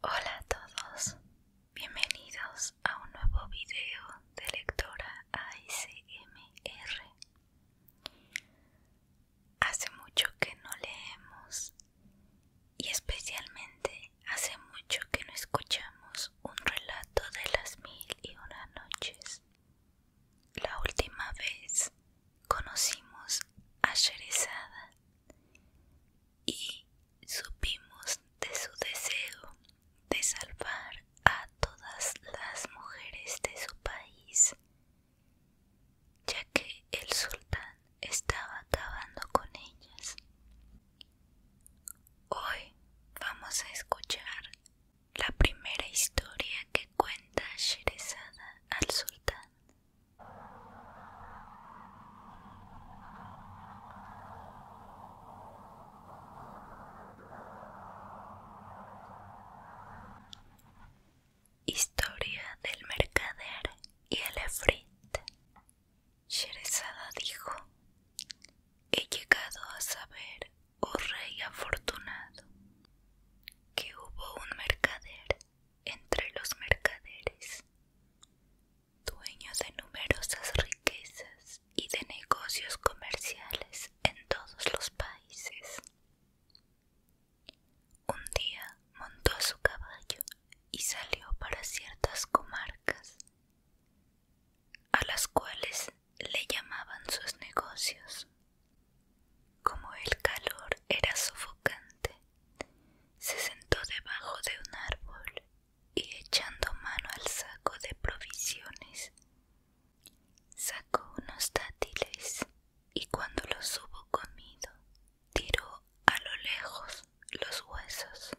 Hola a todos, bienvenidos a un nuevo video de lectora ASMR. Hace mucho que no leemos y especialmente hace mucho que no escuchamos un relato de las mil y una noches. La última vez conocimos a Sherezada y supimos de su deseo de salvar a todas las mujeres de su país, ya que el sultán estaba acabando con ellas. Hoy vamos a escuchar la primera historia que cuenta Sheresada al sultán. Historia del mercader y el efrit. dijo: He llegado a saber, oh rey afortunado, que hubo un mercader entre los mercaderes, dueño de numerosas riquezas y de negocios comerciales en todos los países. Un día montó a su caballo y salió para ciertas comarcas, a las cuales le llamaban sus negocios. Como el calor era sofocante, se sentó debajo de un árbol y echando mano al saco de provisiones, sacó unos dátiles y cuando los hubo comido, tiró a lo lejos los huesos.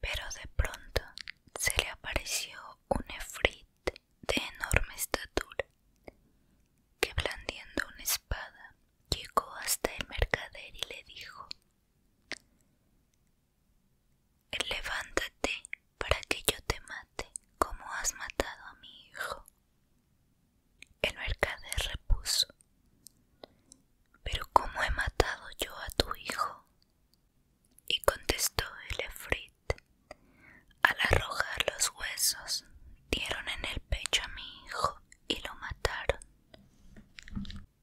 Pero de pronto se le apareció un efrit de enorme estatura, que blandiendo una espada Llegó hasta el mercader y le dijo, Levántate para que yo te mate como has matado a mi hijo. El mercader repuso, Pero ¿cómo he matado yo a tu hijo? Y contestó el efrit, al arrojar los huesos dieron en el pecho a mi hijo y lo mataron.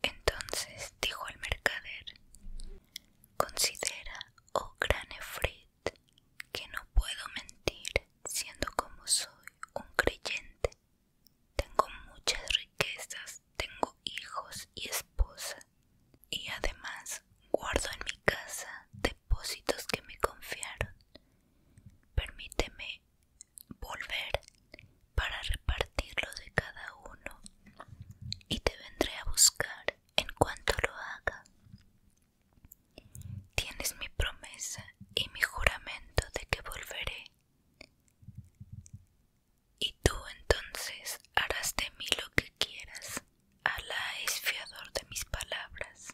Entonces dijo el mercader, considera, oh gran Efrit, que no puedo mentir, siendo como soy un creyente. Tengo muchas riquezas, tengo hijos y esposa, y además guardo en mi casa depósitos que me confiaron. Permíteme volver para repartirlo de cada uno y te vendré a buscar en cuanto lo haga. Tienes mi promesa y mi juramento de que volveré. Y tú entonces harás de mí lo que quieras. Alá es fiador de mis palabras.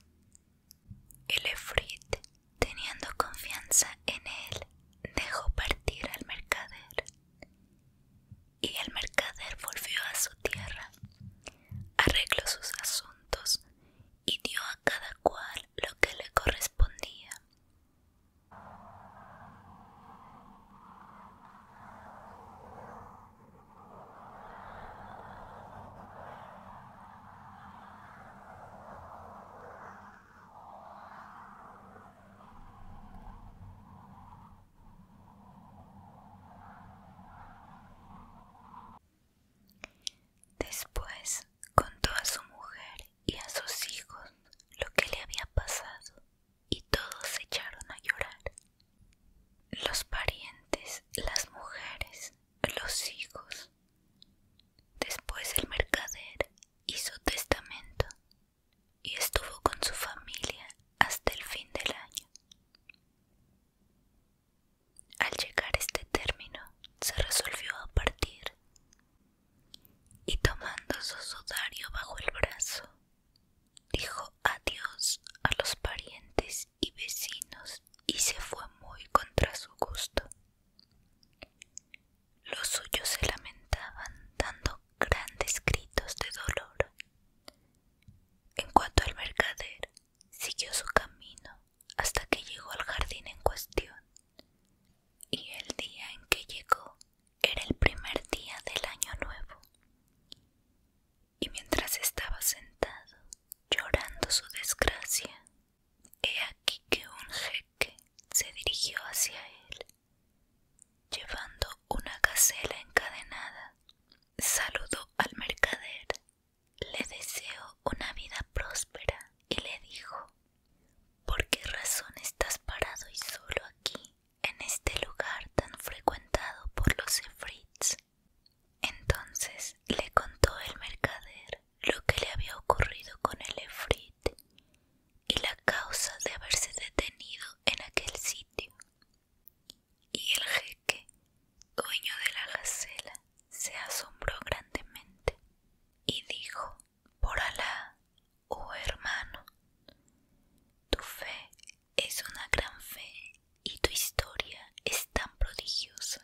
El Efrit, teniendo confianza en él, dejó partir al mercader. Y el mercader volvió a su tierra, arregló sus asuntos y dio a cada cual lo que le correspondía. Después contó a su mujer y a sus hijos lo que le había pasado y todos se echaron a llorar. Los parientes, las mujeres los hijos. Después el mercader hizo testamento y estuvo con su familia hasta el fin del año. Al llegar este término, se resolvió a partir y tomando su sudario bajo el brazo, dijo adiós a los parientes y vecinos y se fue muy contra su gusto. Los suyos se lamentaban dando grandes gritos de dolor. En cuanto al mercader, siguió su camino hasta que llegó al jardín en cuestión. Y el día en que llegó era el primer día del año nuevo y mientras estaba sentado, llorando su desgracia, he aquí que un jeque se dirigió hacia él, llevando una gacela encadenada. Saludó al mercader, le deseó una vida próspera y le dijo, ¿por qué razón estás parado y solo aquí, en este lugar tan frecuentado por los efrits? Entonces le contó el mercader lo que le había ocurrido con el efrit y la causa de haberse detenido en aquel sitio. Y el jeque, dueño de la gacela, se asombró grandemente y dijo, por alah, oh hermano, tu fe es una gran fe y tu historia es tan prodigiosa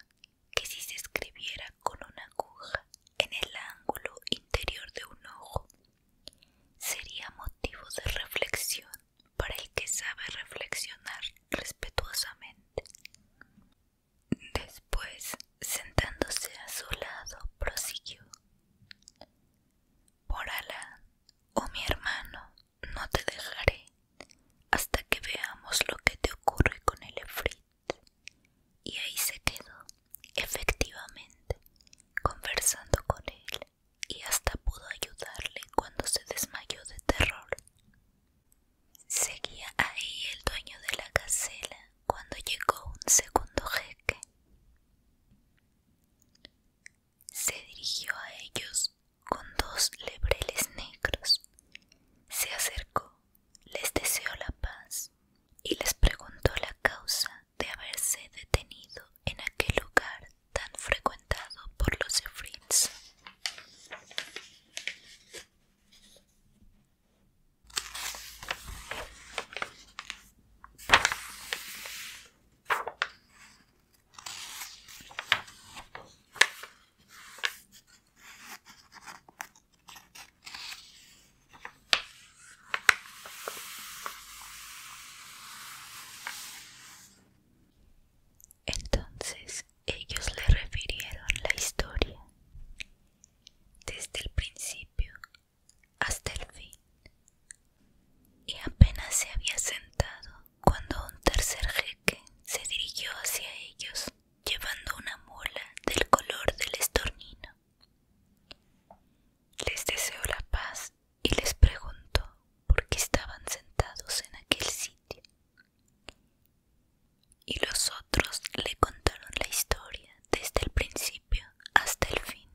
que si se escribiera con una aguja en el ángulo interior de un ojo, sería motivo de reflexión para el que sabe reflexionar respetuosamente. Después, sentándose a su lado, prosiguió. Por Alá, oh mi hermano, no te dejaré hasta que veamos lo que te ocurre con el efrit. Y ahí se quedó, efectivamente, conversando con él, y hasta pudo ayudarle cuando se desmayó de terror. Seguía ahí el dueño de la casela cuando llegó un segundo jeque. Se dirigió a ellos con dos lebreles negros. Se acercó, les deseó la paz y les preguntó la causa de haberse detenido en aquel lugar tan frecuentado por los efrits. Entonces ellos le refirieron la historia desde el principio hasta el fin y apenas se había sentado cuando un tercer jeque se dirigió hacia ellos llevando una mula del color del estornino. Les deseó la paz y les preguntó por qué estaban sentados en aquel sitio. Y los otros le contaron la historia desde el principio hasta el fin.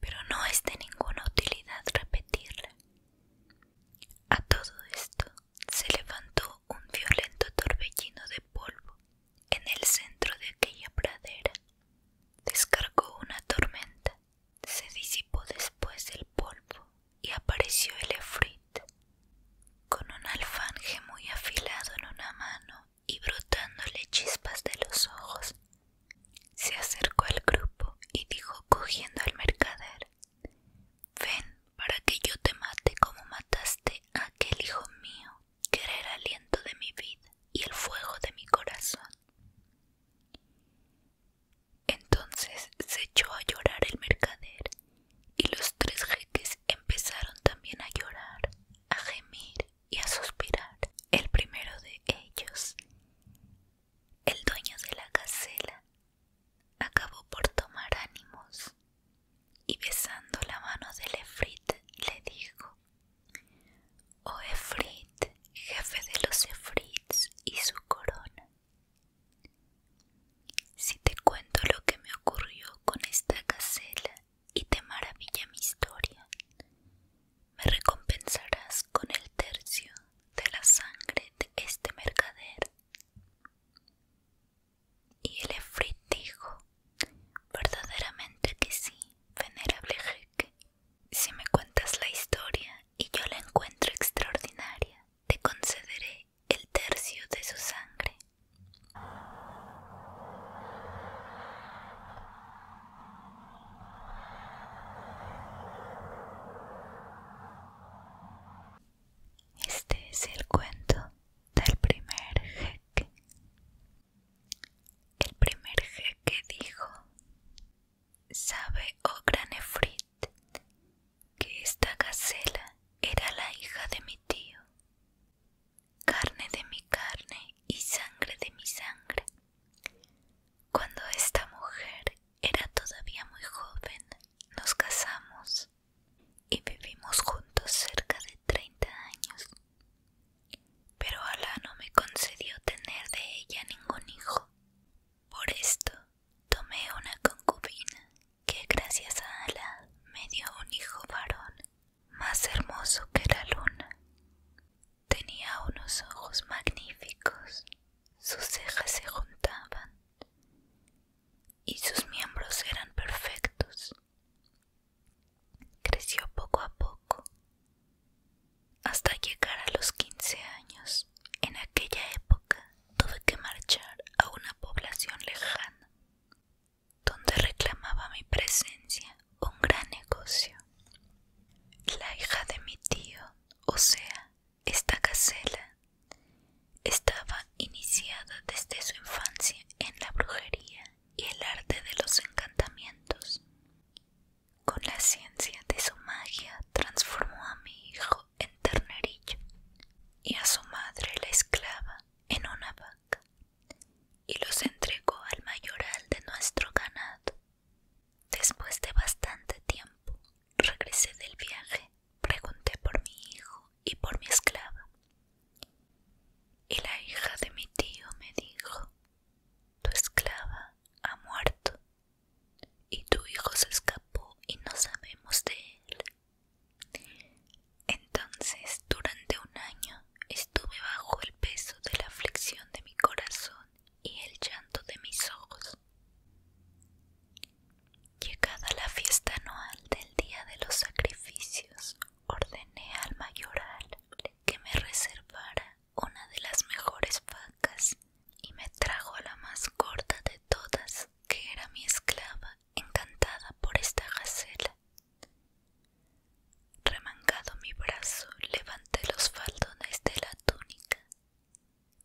Pero no es de ninguna utilidad repetirla, a todo esto se levantó un violento torbellino de polvo en el centro de aquella pradera. Descargó una tormenta, se disipó después el polvo y apareció el efrit, con un alfanje muy afilado en una mano y brotándole chispas de los ojos. Se acercó al grupo y dijo cogiendo al mercader Ven para que yo te mate como mataste a aquel hijo mío, que era el aliento de mi vida y el fuego de mi corazón. Entonces se echó a llorar el mercader, y los tres jeques empezaron también a llorar, a gemir y a suspirar. El primero de ellos, el dueño de la casela, acabó por tomar ánimos y besando la mano del Efrit le dijo: Oh Efrit, jefe de los Efrits y su corona, si te cuento lo que me ocurrió con esta casela y te maravilla mi historia, me recompensarás con el tercio de la sangre de este mercader. Y el Efrit dijo, verdaderamente que sí, venerable jeque. Si me cuentas la historia y yo la encuentro extraordinaria, te concederé el tercio de su sangre. Este es el cuento del primer jeque. El primer jeque dijo, sabe, oh gran Efrit, que esta gacela era la hija de mi tío, carne de mi carne y sangre de mi sangre. Cuando esta mujer era todavía muy joven, nos casamos y vivimos juntos cerca de 30 años. Pero Alá no me concedió tener de ella ningún hijo. Por esto tomé una concubina que gracias a Alá me dio un hijo varón más hermoso que la luna. Tenía unos ojos magníficos sus cejas se juntaban y sus miembros eran perfectos. Creció poco a poco hasta llegar a los 15 años. En aquella época tuve que marchar a una población lejana donde reclamaba mi presencia un gran negocio. La hija de mi tío, o sea, esta casela estaba iniciada desde su infancia en la brujería y el arte de los encantamientos. Con la ciencia de su magia transformó a mi hijo en ternerillo y a su madre la esclava en una vaca y los entregó al mayoral de nuestro ganado. Después de bastante tiempo, regresé del viaje, pregunté por mi hijo y por mi esclava. Y la hija de mi tío me dijo, tu esclava ha muerto y tu hijo se escapó y no sabemos de él. Entonces, durante un año estuve bajo el peso de la aflicción de mi corazón y el llanto de mis ojos. Llegada la fiesta anual del día de los sacrificios, ordené al mayoral que me reservara una de las mejores vacas y me trajo la más corta de todas, que era mi esclava, encantada por esta gacela. Remangado mi brazo, levanté los faldones de la túnica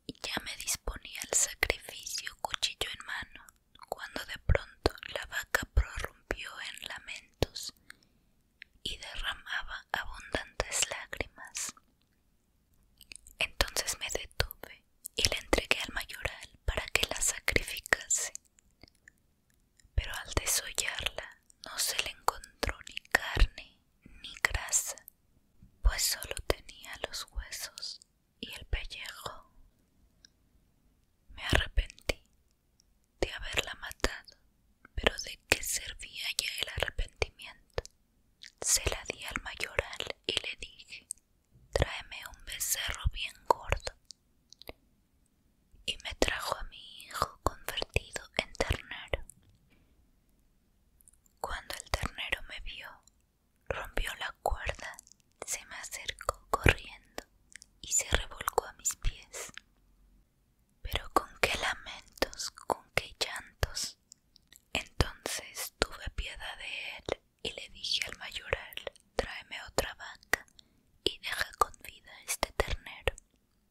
y ya me disponía al sacrificio cuchillo en mano, cuando de pronto la vaca prorrumpió en lamentos y derramaba abundantes lágrimas. Entonces me detuve y la entregué al mayoral para que la sacrificase. Pero al desollarla no se le encontró ni carne ni grasa, pues solo tenía los huesos y el pellejo. Me arrepentí de haberla matado, pero ¿de qué servía ya el arrepentimiento? Se la di al mayoral y le dije, tráeme un becerro bien gordo. Y me trajo a mi hijo convertido en ternero. Cuando el ternero me vio, rompió la cuerda, se me acercó corriendo y se revolcó a mis pies. Pero con qué lamentos, con qué llantos. Entonces tuve piedad de él y le dije al mayoral, tráeme otra vaca y deja con vida este ternero.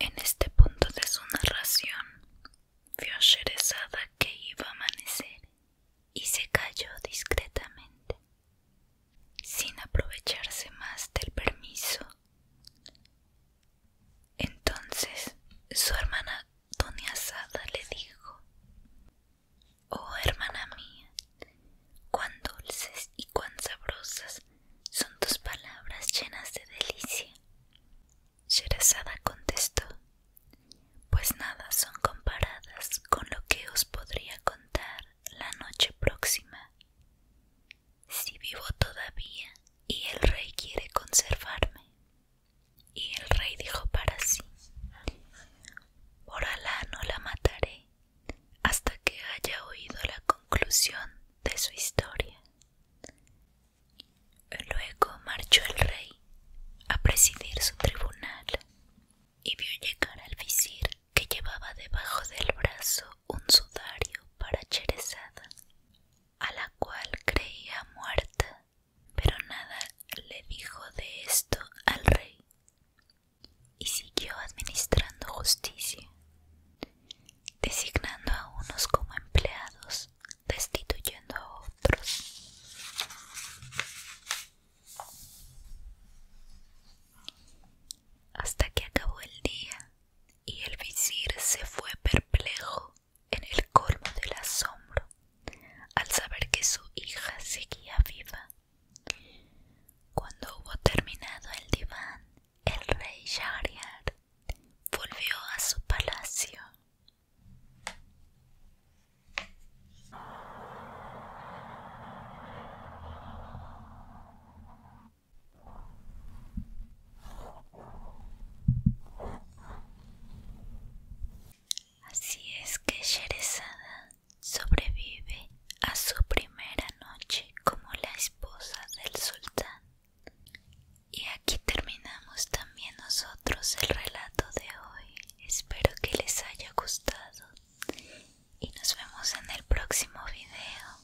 En este punto de su narración, vio a Sherezada que iba a amanecer y se calló discretamente, sin aprovecharse más del permiso entonces su hermana Doña Sada le dijo, Oh hermana mía, cuán dulces y cuán sabrosas son tus palabras llenas de delicia. Sherazada contestó, Pues nada son comparadas con lo que os podría contar la noche próxima si vivo todavía y el rey quiere conservarme. Y el rey dijo para sí, por Alá no la mataré hasta que haya oído la conclusión de su historia. Luego marchó el rey a presidir su tribunal y vio llegar al visir que llevaba debajo del brazo un sudario para Cherezada a la cual creía muerta, pero nada le dijo de esto al rey y siguió administrando justicia, designando a unos como empleados, destituyendo a otros. Hasta que acabó el día y el visir se fue perplejo en el colmo del asombro al saber que su hija seguía viva. Cuando hubo terminado el diván, el rey Shahriar volvió a su palacio. Así es que Sherezada sobrevive a su primera noche como la esposa del sultán. Y aquí terminamos también nosotros el relato de hoy. Espero que les haya gustado y nos vemos en el próximo video.